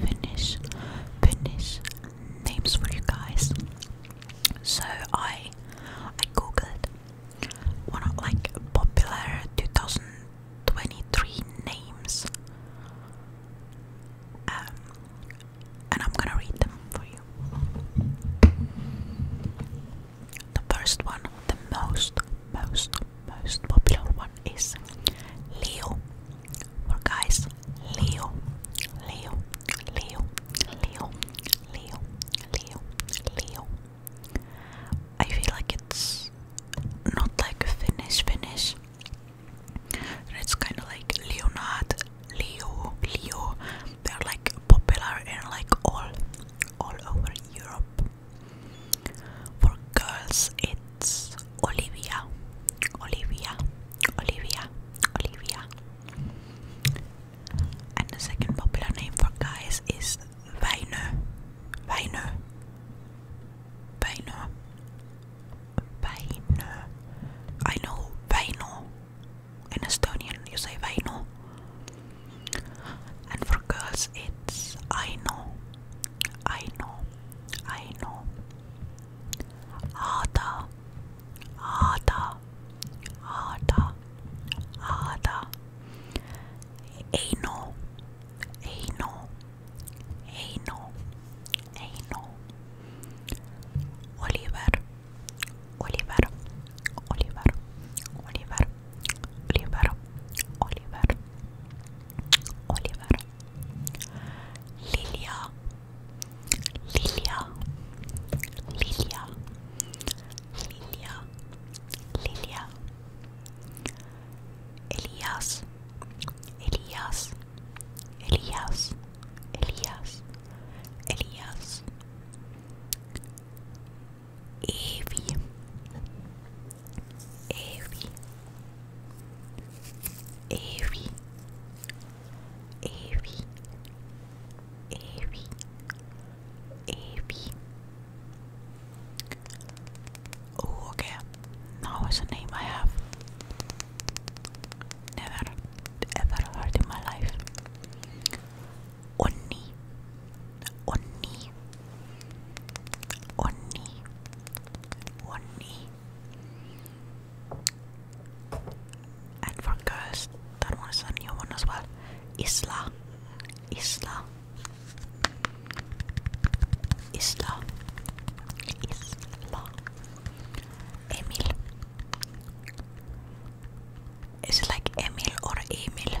finish finish names for you guys. So I I googled one of like popular 2023 names. Um, and I'm gonna read them for you. The first one, the most, most, most popular one is Leo, for guys, Leo, Leo, Leo, Leo, Leo, Leo, Leo. I feel like it's not like Finnish, Finnish. It's kind of like Leonard, Leo, Leo. They're like popular and like all, all over Europe. For girls, it's es Olivia, Olivia, Olivia, Olivia. And the second popular name for guys is Weiner, Weiner, Weiner, Weiner. I know Weino. In Estonian, you say Weino. And for girls, it's I know, I know, I know. Ada, Ada, Ada, Ada. Ano, Ano, Ano, Ano. Oliver, Oliver, Oliver, Oliver, Oliver, Oliver, Oliver, Lilia, Lilia, Lilia, Lilia, Lilia, Elias, Elias, Elias, Elias, Elias, Evie, Avery, Avery, Avery, Avery, Avery. Oh, okay. Now is a name I have never ever heard in my life. Onni, Onni, Onni, Onni, and for girls, that was a new one as well. Isla, Isla, Isla, Isla, Emil. Is it like Emil or Emil?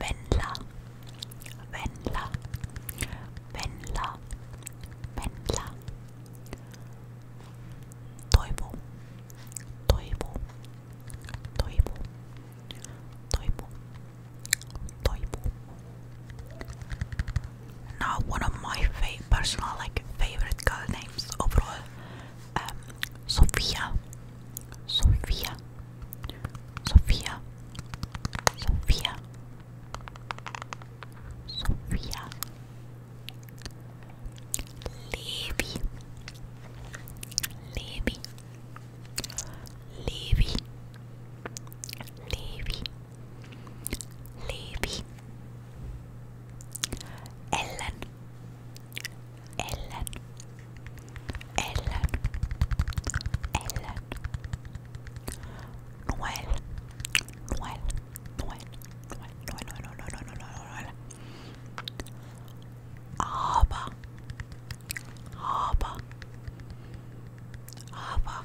Venla, Venla, Venla, Venla. Toivo, Toivo, Toivo, Toivo, Toivo. Now one of my fa personal like favorite girl names overall um, Sophia, Sophia, Sophia, Sophia, Levi, Levi, Levi, Levi, Levi, Ellen. Ellen, Ellen, Ellen, Noel, Noel, Noel, Noel, Noel, Noel, Noel, Noel, Noel, Noel. Aber, aber, aber,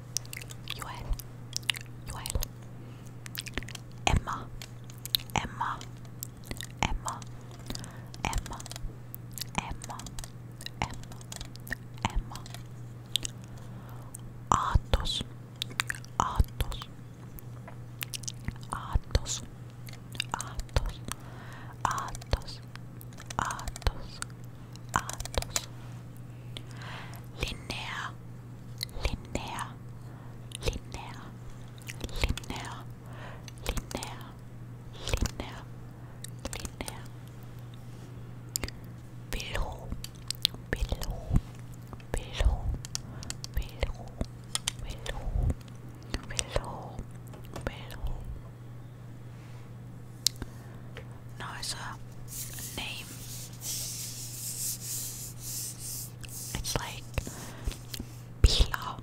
Joel, Joel, Emma, Emma, Emma, Emma, Emma, Emma, Emma, Atos, Atos, Atos, Atos, Atos, Atos, Atos, Arthus Linnea Linnea Linnea Linnea Linnea Linnea Linnea Below Below Below Below Below Below Below nicer uh, name. It's like Pila,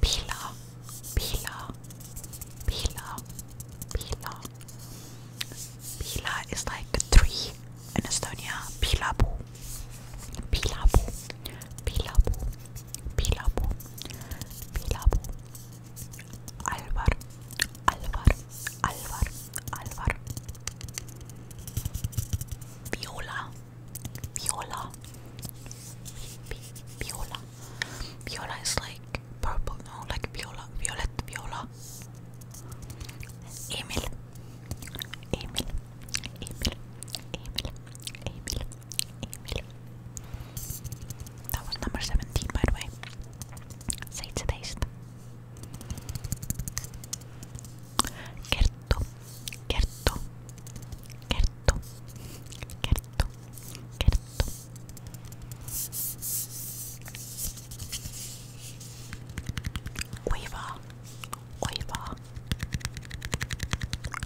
Pila, Pila, Pila, Pila. Pila is like three in Estonia. Pilabu, Pilabu, Pilabu, Pilabu, Pilabu, Alvar, Alvar, Alvar, Alvar. Viola, Viola, Viola. Viola is like purple, no, like Viola, Violet, Viola. Emil, Emil, Emil, Emil, Emil, that was number 17, by the way. Say to taste. Kerto, Kerto, Kerto, Kerto, Kerto. Oiva, Oiva,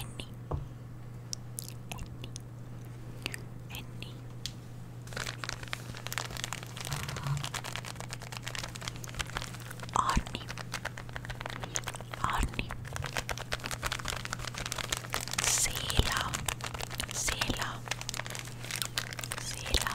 Enni. Enni. Enni. Arni. Arni. Sela. Sela. Sela.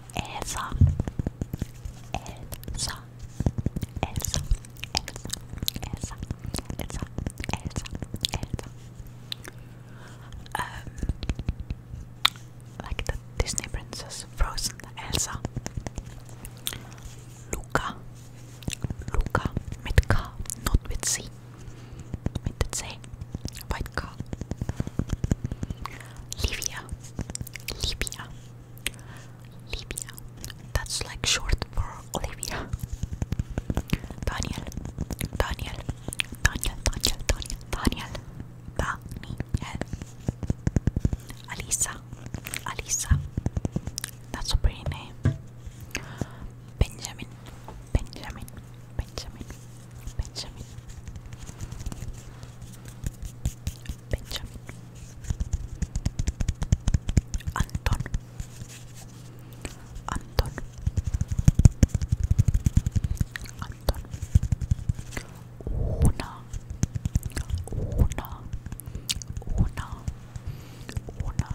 Elsa, Elsa, Elsa, Elsa, Elsa, Elsa, Elsa. Um, like the Disney princess, Frozen, Elsa. Luca, Luca, mit K, not with C. Mit C, white K. Livia, Libya. Libya. That's like short for Olivia. Daniel. Daniel. Daniel. Daniel. Daniel. Daniel. Daniel. Alisa. Alisa. That's a pretty name. Benjamin. Benjamin. Benjamin. Benjamin Benjamin Anton Anton Anton Una Una Una Una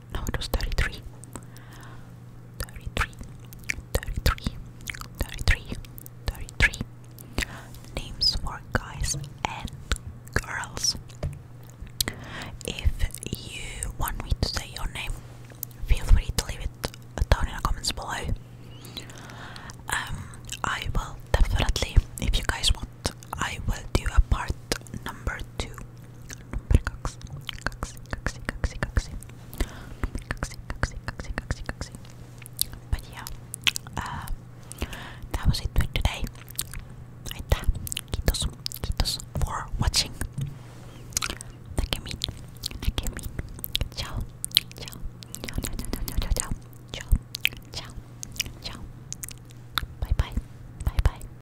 no it names for guys and girls if you want me to say your name feel free to leave it down in the comments below um i will definitely if you guys want i will do a part number two but yeah, uh, that was it for today. Ahí está. Quitos, quitos for watching. Nakemin, nakemin. Ciao, ciao, ciao, ciao, ciao, ciao, ciao, ciao, ciao, ciao, ciao. Bye bye, bye bye,